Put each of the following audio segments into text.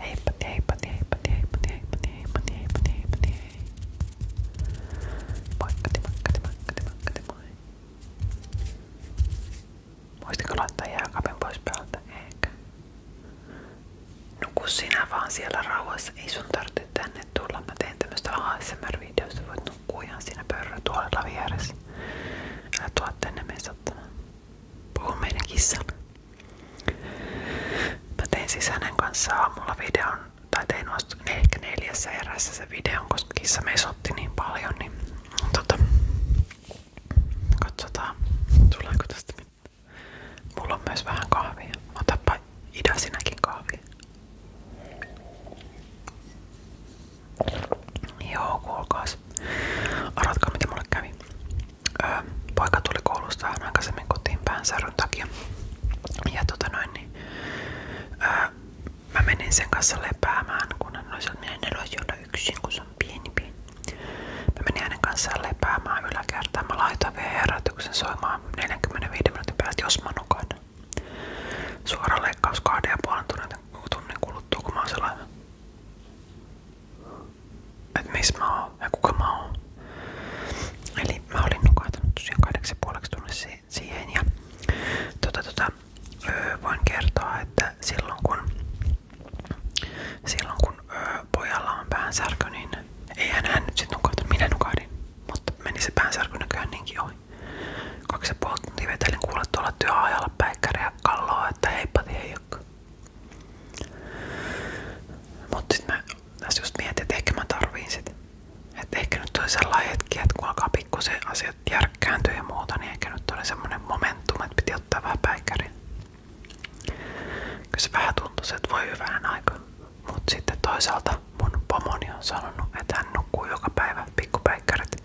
Heippat ja heippat ja heippat ja heippat ja heippat ja heippat ja heippat ja heippat ja hei. Moikkati moikkati moikkati moikkati moi. Muistiko laittaa jääkaapin pois päältä? Eikä. Nuku sinä vaan siellä rauhassa. Ei sun tarvitse tänne tulla. Mä teen tämmöstä ASMR-videosta. Voit nukkua ihan siinä pöydän tuolella vieressä. Älä tuo tänne mesottamaan puhun meidän kissalle. Mä tein siis hänen kanssaan aamulla videon, tai tein vasta ehkä neljässä erässä sen videon, koska kissa mesotti niin paljon, niin tota, katsotaan tuleeko tästä mitään. Mulla on myös vähän kahvia. Otapa idä sinäkin kahvia. Joo, kuulkaas. Arvatkaa mitä mulle kävi öö, poika tuli koulusta vähän aikaisemmin kotiin päänsäryn takia. Ja tota noin, niin, öö, mä menin sen kanssa lepäämään, kun hän oli sieltä, että minä en yksin, kun se on pieni pieni. Mä menin hänen kanssa lepäämään yläkertaan. Mä laitoin vielä herätyksen soimaan 45 minuutin päästä, jos mä nukan. Suora leikkaus kahden ja puolen tunnin kuluttua, kun mä oon sellainen. Että missä mä oon kuka mä Eli mä olin nukahtanut tosiaan kahdeksan puoleksi tunnissa siihen ja tota, tota, voin kertoa, että silloin kun, silloin kun öö, pojalla on päänsärky, niin eihän hän nyt sit nukahtanut, minä nukahdin, se päänsärky näköjään ohi. Kaksi ja puoli tuntia vetelin kuulla tuolla työajalla päikkäriä kalloa, että heippa hei, miekka. Mut sit mä tässä just mietin, että ehkä mä tarviin sit. Että ehkä nyt oli sellainen hetki, että kun alkaa pikkusen asiat järkkääntyä ja muuta, niin ehkä nyt oli semmonen momentum, että piti ottaa vähän päikkärin. Kyllä se vähän tuntuu, että voi hyvään aikaa. Mut sitten toisaalta mun pomoni on sanonut, että hän nukkuu joka päivä pikkupäikkärit.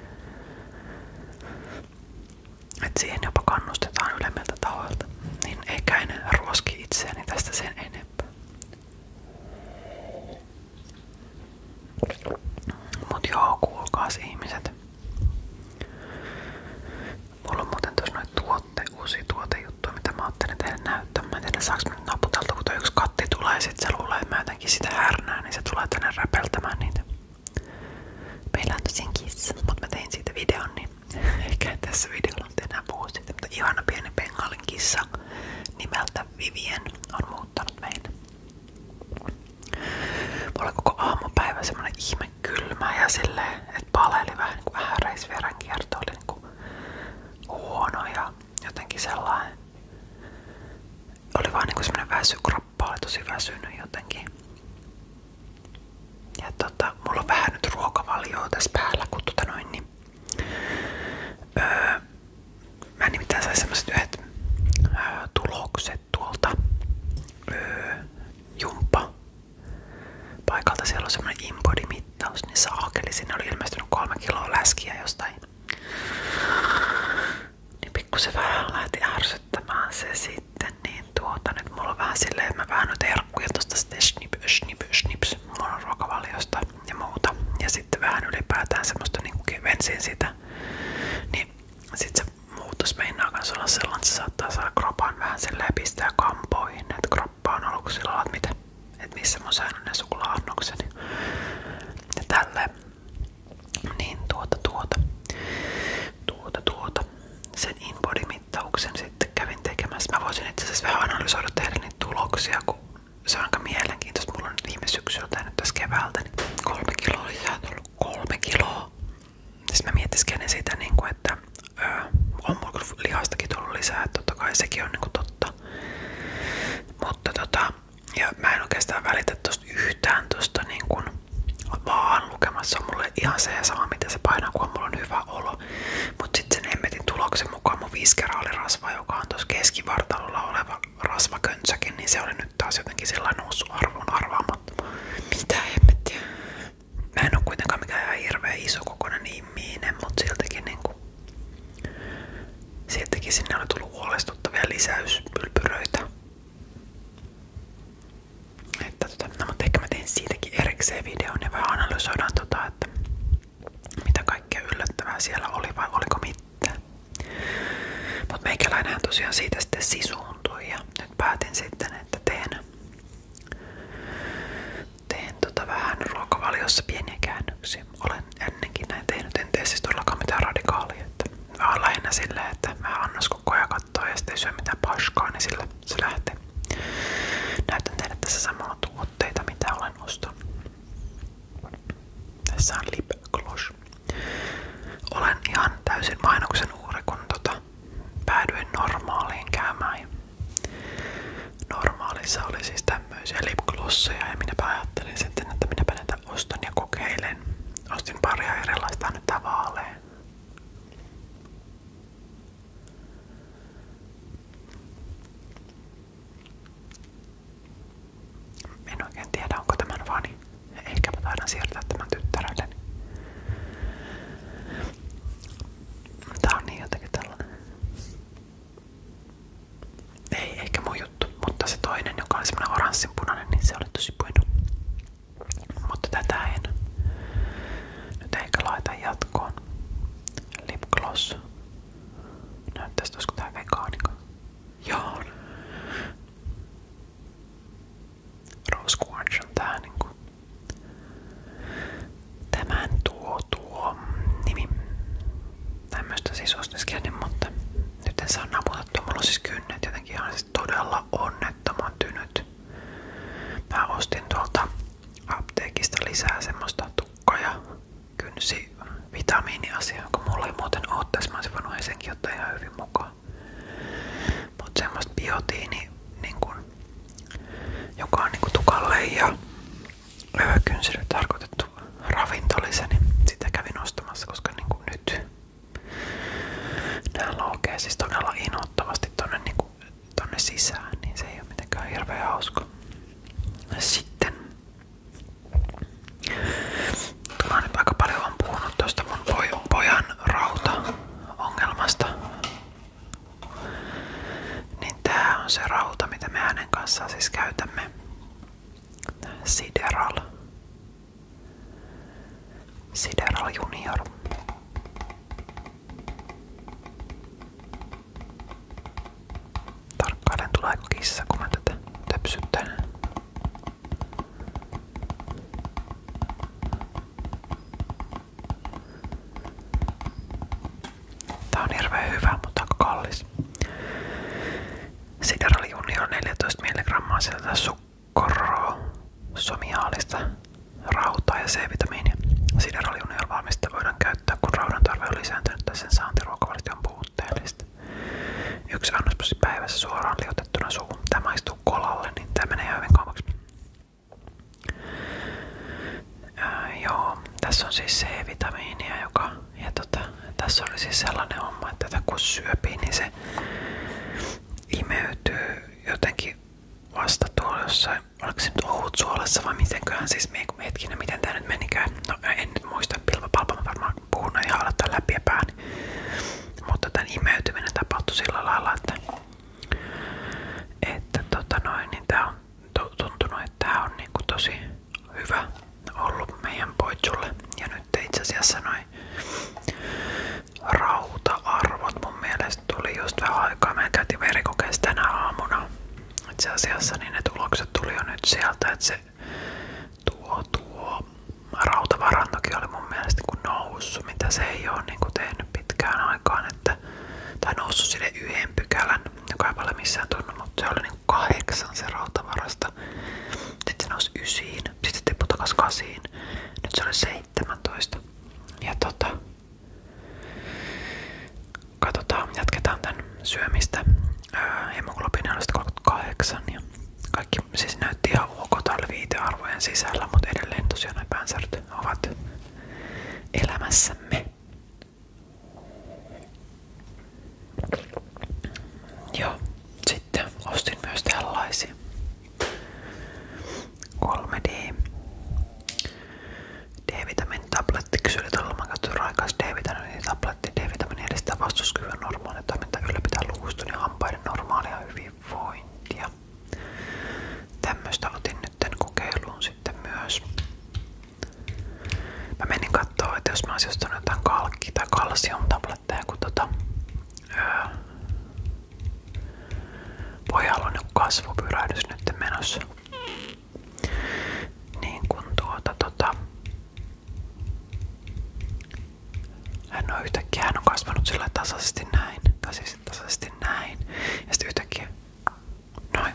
Et siihen jopa kannustetaan ylemmiltä tahoilta, niin eikä en ruoski itseäni tästä sen enempää. Mut joo, kuulkaas ihmiset. Mulla on muuten tuossa noita tuotte, uusia tuotejuttuja, mitä mä ajattelin teille näyttää. Mä en tiedä, saaks mä nyt naputeltu, kun yksi katti tulee ja sit se luulee, että mä jotenkin sitä härnää, niin se tulee tänne räpeltämään niitä. Meillä on mutta mä siitä videon, niin ehkä tässä videolla nyt mutta ihana pieni bengalin nimeltä Vivien on muuttanut meille. Mulla koko aamupäivä ihme kylmä ja silleen, että paleili vähän niin kuin ääreisverenkierto oli niinku ja jotenkin sellainen. Oli vaan niinku semmonen kappale, tosi väsynyt jotenkin. Ja tota, mulla on vähän nyt ruokavalioa tässä päällä, kun tota noin, niin öö, mä nimittäin sain semmoset yhdet öö, tulokset tuolta öö, jumppa paikalta. Siellä on semmonen inbody-mittaus, niin saakeli. Sinne oli ilmestynyt kolme kiloa läskiä jostain niin pikkusen vähän lähti ärsyttämään se sitten, niin tuota nyt mulla on vähän silleen, mä vähän nyt herkkuja tosta sitten snip, snip, snips mun ruokavaliosta ja muuta. Ja sitten vähän ylipäätään semmoista niinku kevensin sitä. Niin sit se muutos meinaa kans olla sellainen, että se saattaa saada kropan vähän silleen pistää kampoihin, että kroppa on ollut sillä että mitä, että missä mun säännön ne suklaa-annokseni. Ja tälleen. Niin tuota tuota. Tuota tuota. Sen inbody-mittauksen sitten kävin tekemässä. Mä voisin itse asiassa vähän analysoida tehdä niitä tuloksia, kun se on viime syksyltä nyt tässä keväältä niin kolme kiloa lisää Kolme kiloa. Siis mä mietiskelen sitä, niin kuin, että on mulla lihastakin tullut lisää, että totta kai sekin niin totta. Mutta tota, ja mä en oikeastaan välitä tosta yhtään tosta niin kuin, vaan lukemassa on mulle ihan se ja sama, mitä se painaa, kun mulla on hyvä olo. Mutta sitten sen hemmetin tuloksen mukaan mun rasva joka on tuossa keskivartalolla oleva rasvakönsäkin, niin se oli nyt taas jotenkin sillä noussut arvoon arvaamattomaan. Mitä hemmettiä? Mä en oo kuitenkaan mikään ihan hirveä isokokoinen ihminen, mutta siltäkin niinku... Siltäkin sinne oli tullut huolestuttavia lisäyspylpyröitä. Että, tota, no, mutta ehkä erikseen videon ja vähän analysoidaan, tota, mitä kaikkea yllättävää siellä oli vai oliko mitään. Mutta meikäläinenhän tosiaan siitä sitten sisuuntui ja nyt päätin sitten, että teen, teen tota vähän ruokavaliossa pieniä käännöksiä. ennenkin näin tehnyt, en siis todellakaan mitään radikaalia. Että mä lähinnä että mä annas koko ajan kattoo ja sitten ei syö mitään paskaa, niin sillä se lähtee. Näytän teille tässä samalla tuotteita, mitä olen ostanut. Tässä on lip gloss. Olen ihan täysin mainoksen uuri, kun tota, päädyin normaaliin käymään. Normaalissa oli siis tämmöisiä lip glosseja ja minä ajattelin sitten, että minä ne täältä ostan ja kokeilen. Ostin paria erilaista nyt vaaleen. En oikein tiedä onko tämän vani. Niin ehkäpä taidan siirtää tämän tyttärelleni. Tää on niin jotenkin tällainen. Ei ehkä mun juttu, mutta se toinen, joka oli semmonen oranssinpunainen, niin se oli tosi puinu. Mutta tätä en nyt ehkä laita jatkoon. Lip gloss. Näyttäisi, olisiko tää vegaanika. Joo. Rose Quartz on tää niinku. Tämän tuo tuo nimi. Tämmöstä siis ostiskin, mutta nyt en saa naputettua. Mulla on siis kynnet jotenkin ihan siis todella onnettoman tynyt. Mä ostin tuolta apteekista lisää semmoista kynsi vitamiiniasiaa, joka mulla ei muuten oo tässä. Mä oisin hyvin mukaan. Mut semmoista biotiini, niin kun, joka on niin kun tukalle ja kynsille tarkoitettu ravintolisa, niin sitä kävin ostamassa, koska niin kun nyt Nää laukee siis todella innoittavasti tonne, niinku, tonne sisään, niin se ei ole mitenkään hirveä hauska. Sitten Mä nyt aika paljon on puhunut tuosta mun pojan rauta-ongelmasta. Niin tää on se rauta, mitä me hänen kanssaan siis käytämme. Sideral. Sideral Junior. Tarkkailen tuleeko kissa, kun mä tätä on hirveän hyvä, mutta kallis. Sideral Junior 14 mg sieltä korroa, somiaalista, rautaa ja C-vitamiinia. Sideraliunion valmista voidaan käyttää, kun raudan tarve on lisääntynyt tai sen saanti ruokavalioon puutteellista. Yksi annospussi päivässä suoraan liotettuna suuhun. Tämä maistuu kolalle, niin tämä menee hyvin kauaksi. Äh, joo, tässä on siis C-vitamiinia, joka ja tota, tässä oli siis sellainen homma, että kun syöpii, niin se se imeytyy jotenkin vasta tuolla jossain, oliko se nyt Oulun suolassa vai mitenköhän siis hetkinen, miten tää nyt menikään. No en nyt muista, pilvapalpa mä varmaan puhun ja aloittaa läpi ja pääni. Mutta tämän imeytyminen tapahtui sillä lailla, että, että tota noin, niin tämä, on tuntunut, että tää on niin tosi hyvä ollut meidän poitsulle. Ja nyt itse asiassa noin rauta-arvot mun mielestä tuli just aikaa. Me käytiin verikokeessa aamuna. Itse asiassa niin ne tulokset tuli nyt sieltä, että se tuo tuo rautavarantokin oli mun mielestä kun noussut, mitä se ei ole niin kuin pitkään aikaan. Että, tai noussut sille yhden pykälän, joka ei paljon missään tunnu, mutta se oli kahdeksan se rautavarasta. Sitten se nousi ysiin, sitten se tippui takas kasiin. Nyt se oli 17. Ja tota... Katsotaan, jatketaan tän syömistä. Öö, Hemoglobiini oli 38 ja kaikki siis näytti ihan ok tällä viitearvojen sisällä, mutta edelleen tosiaan nämä päänsäryt ovat elämässämme. Joo, sitten sitten ostin myös tällaisia 3D D-vitamiin tablettiksi yritetään olla katsoin D-vitamiin tabletti. D-vitamiini edistää vastuskyvyn normaalia toiminta ylläpitää luustun niin ja hampaiden normaalia hyvinvointia. Tämmöstä otin nyt kokeiluun sitten myös. menin katsoa, että jos mä olisin saada kun tota... Öö, pojalla on joku kasvupyrähdys nyt menossa. Niin kun tuota tota... Hän on yhtäkkiä hän on kasvanut sillä tasaisesti näin. Tai siis tasaisesti näin. Ja sitten yhtäkkiä noin.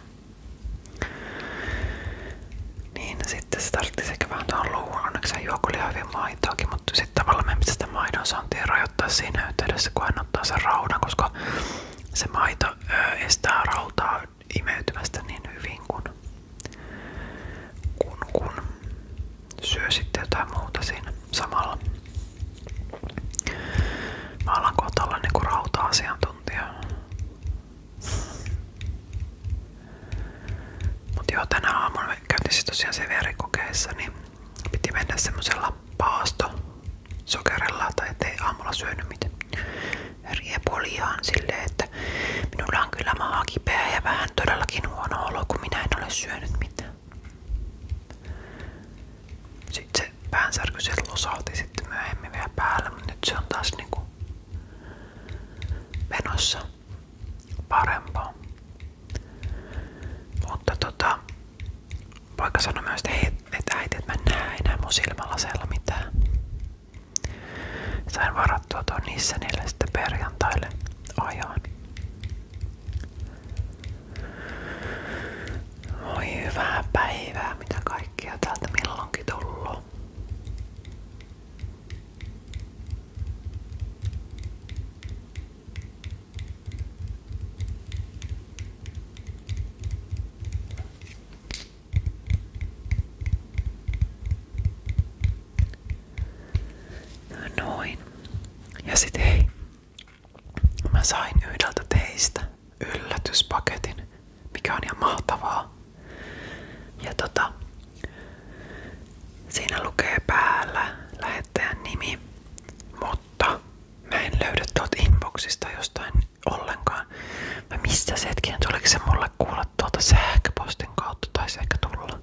Niin sitten se tarvittiin sekä vähän tuohon luuhun, onneksi hän juo kyllä hyvin maitoakin, mutta sitten tavallaan me sitä maidon saantia rajoittaa siinä yhteydessä, kun hän ottaa sen raudan, koska se maito ö, estää rautaa imeytymästä niin hyvin kuin kun, kun syö sitten jotain muuta siinä samalla. Mä alan kohta olla niinku rauta-asiantuntija. Mut joo, tänä aamulla, me käytiin siis tosiaan CVR-kokeessa, niin piti mennä semmosella paastosokerilla, tai ettei aamulla syönyt mitään riepuliaan silleen, että minulla on kyllä maha kipeä ja vähän todellakin huono olo, kun minä en ole syönyt mitään. Sitten se päänsärky sieltä losauti sitten myöhemmin vielä päällä, mutta nyt se on taas niinku menossa parempaa. Mutta tota, poika sanoi myös, että hei, että äiti, et mä en näe enää mun silmälaseella mitään. Sain varattua tuon Nissanille sitten perjantaille ajoon. Voi hyvää päivää, mitä kaikkea täältä milloinkin tullut. No noin. Ja sit hei. Mä sain yhdeltä teistä yllätyspaketin, mikä on ihan mahtavaa. Ja tota, siinä lukee päällä lähettäjän nimi, mutta mä en löydä inboxista jostain ollenkaan. Mä se hetkinen, tuliko se mulle kuulla tuolta sähköpostin kautta, tai se tulla.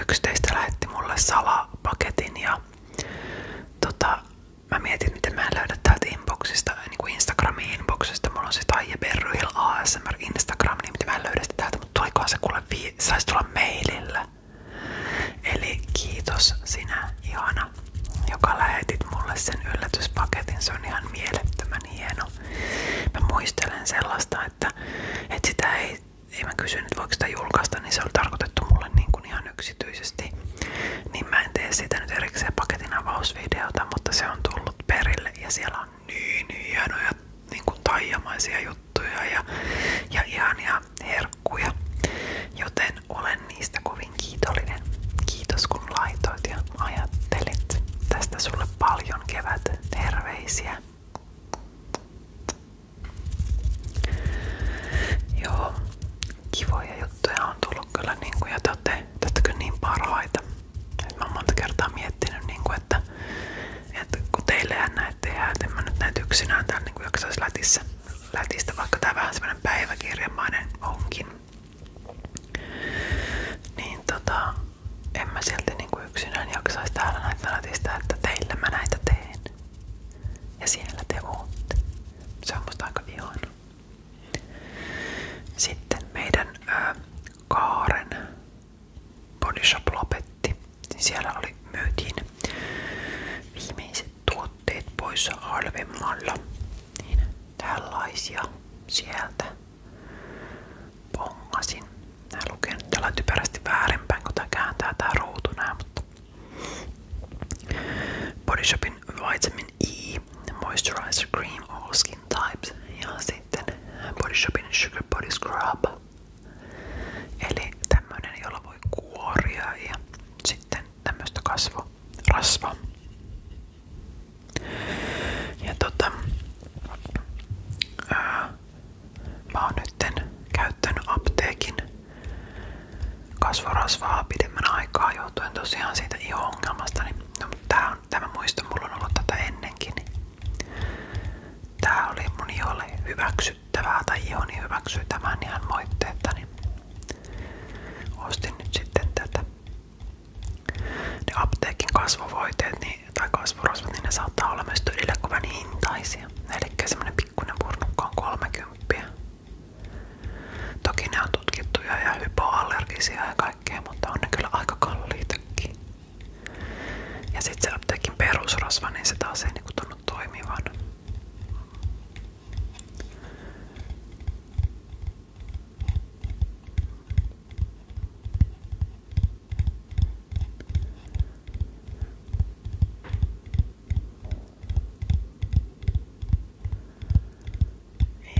Yksi teistä lähetti mulle salapaketin ja tota, mä mietin miten mä en löydä täältä inboxista Äh, niinku Instagramin inboxista. Mulla on se siis Taija Berryhill ASMR Instagram, niin mä en löydä mutta tulikohan se kuule vii, saisi tulla mailillä. Eli kiitos sinä, ihana, joka lähetit mulle sen yllätyspaketin. Se on ihan mielettömän hieno. Mä muistelen sellaista, että, että sitä ei, ei kysynyt, että voiko niin se oli tarkoitettu mulle niin kuin ihan yksityisesti. Niin mä en tee nyt erikseen paketin avausvideota, mutta se on tullut perille ja siellä on niin hienoja niin kuin taijamaisia juttuja ja, ja ihania herkkuja. Joten olen niistä kovin kiitollinen. Kiitos kun laitoit ja ajattelit. Tästä sulle paljon kevät terveisiä. Joo, kivoja juttuja on tullut kyllä niin kuin, ja te olette, te niin parhaita. Et mä oon monta kertaa miettinyt, niin kuin, että, että kun teillehän näitä tehdään, että en mä nyt näitä yksinään täällä niin jaksaisi lätissä, lätistä, vaikka tää vähän semmonen päiväkirjamainen onkin. Niin tota, en mä silti niin kuin yksinään jaksaisi täällä näitä lätistä, että teillä mä näitä teen. Ja siellä te ootte. Se on musta aika ihana. Sitten meidän Kaaren Body Siellä oli myytiin viimeiset tuotteet pois halvemmalla. Niin tällaisia sieltä pongasin. Nää lukee nyt tällä typerästi väärinpäin, kun tää kääntää tää E moisturizer cream all skin types ja sitten Body Shopin Sugar Body Scrub eli tämmönen jolla voi kuoria ja sitten tämmöstä kasvorasvaa ja tota ää, mä oon nytten käyttänyt apteekin kasvorasvaa pidemmän aikaa johtuen tosiaan siitä iho-ongelmasta niin No mutta tää on, tämä muistan, mulla on ollut tätä tota ennenkin. Niin tää oli mun iholle hyväksyttävää tai ihoni hyväksyi tämän niin ihan moitteetta, niin ostin nyt sitten tätä. Ne apteekin kasvovoiteet niin, tai kasvorosvat, niin ne saattaa olla myös todella kovan hintaisia. Eli semmonen pikkuinen purnukka on 30. Toki ne on tutkittuja ja hypoallergisia ja kaikkea, mutta on ne kyllä aika kalliitakin. Ja sitten se apteekin perusrasva, niin se taas ei niinku tunnu toimivan.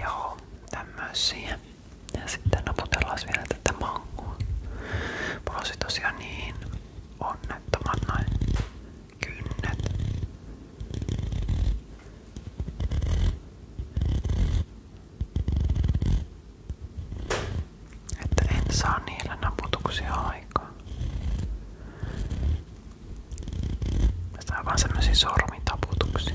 Joo, tämmösiä. Ja sitten naputellaan vielä tätä mangua. Mä oon niin kynnet. Että en saa niillä naputuksia aikaan. Tää on vaan semmosia sormitaputuksia.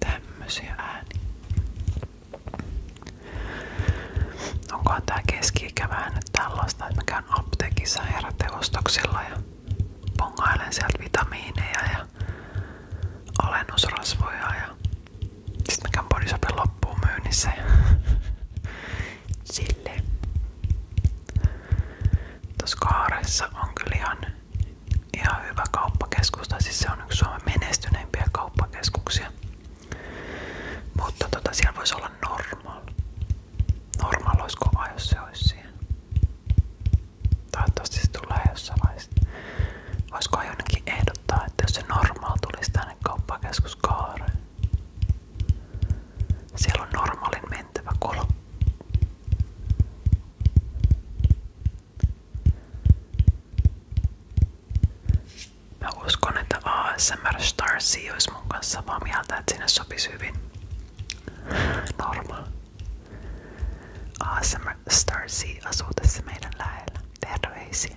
Tämmösiä ääniä. Onkohan tää keski-ikä vähän tällaista, että mä käyn apteekissa heräteostoksilla ja pongailen sieltä vitamiineja ja alennusrasvoja ja sitten mä käyn Bodyshopin loppuun myynnissä ja silleen. Tuossa kaaressa on kyllä ihan, ihan hyvä kauppakeskus, tai siis se on yksi Suomen menestyneimpiä kauppakeskuksia. Mutta tota, siellä voisi olla normal. Normal olisi kova, jos se olisi siihen. Toivottavasti se tulee jossain vaiheessa. jonnekin ehdottaa, että jos se normaal tulisi tänne kauppakeskuskaareen? Siellä on normaalin mentävä kolo. Mä uskon, että ASMR Starsi olisi mun kanssa mieltä, että sinne sopisi hyvin normaali. ASMR Starsea asuu tässä meidän lähellä. Terveisiä.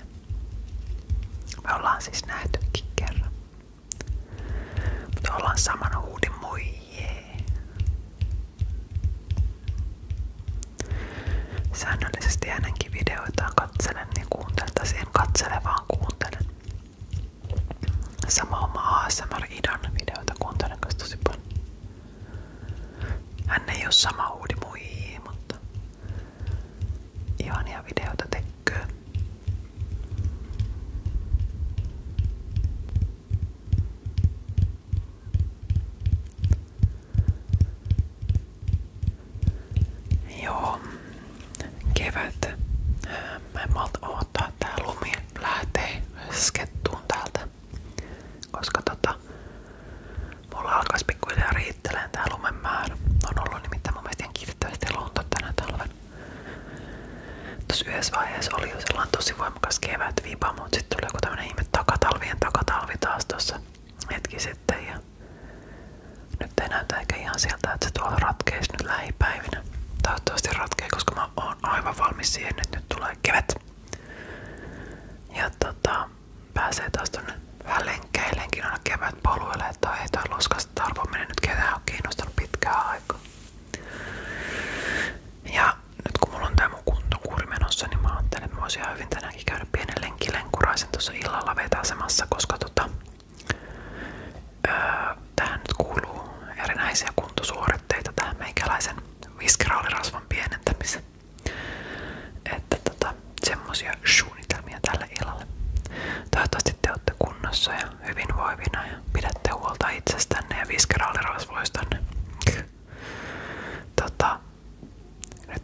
Me ollaan siis nähtykin kerran. Mutta ollaan samana huudin moi jee. Säännöllisesti hänenkin videoitaan katselen ja kuuntelen, tai en katsele vaan kuuntelen. Sama oma ASMR-idan videoita kuuntelen kanssa tosi paljon. Hän ei ole sama uudi muihin, mutta ihania videoita kevät. Mä en malta odottaa, että tää lumi lähtee skettuun täältä. Koska tota, mulla alkaisi pikkuhiljaa riitteleen tää On ollut nimittäin mun mielestä ihan kiitettävästi lunta tänä talven. Tuossa oli jo sellainen tosi voimakas kevät viipa, mutta sitten tuli takatalvien takatalvi taas tuossa hetki sitten. Ja nyt ei näytä että se tuolla ratkeisi nyt lähipäivinä. Toivottavasti ratkee, koska mä oon aivan valmis siihen, että nyt tulee kevät. Ja tota, pääsee taas tuonne vähän lenkkeilleenkin aina kevät poluille, että ei toi luskasta nyt ketään ole kiinnostanut pitkään aikaa. Ja nyt kun mulla on tää niin että mä voisin ihan hyvin tänäänkin käydä pienen lenkkilenkuraisen tuossa illalla vetäsemässä, koska tota, öö, nyt kuuluu erinäisiä kuntosuoritteita meikäläisen viskiraalirasvan pienentämiseen. Että tota, semmosia suunnitelmia tälle illalle. Toivottavasti te olette kunnossa ja hyvinvoivina ja pidätte huolta itsestänne ja viskeraalirasvoistanne. Tota,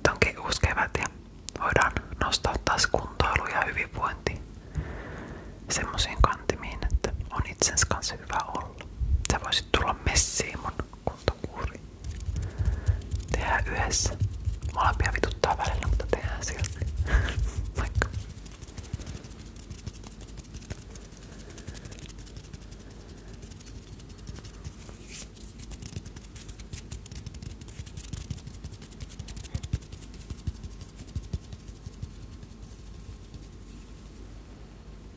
onkin uusi kevät nostaa taas kuntoilu ja hyvinvointi semmosiin kantimiin, että on itsensä kanssa hyvä olla. Sä voisit tulla messiin mun kuntokuri. Tehdään yhdessä. Molempia vituttaa välillä, mutta tehdään silti. Vaikka.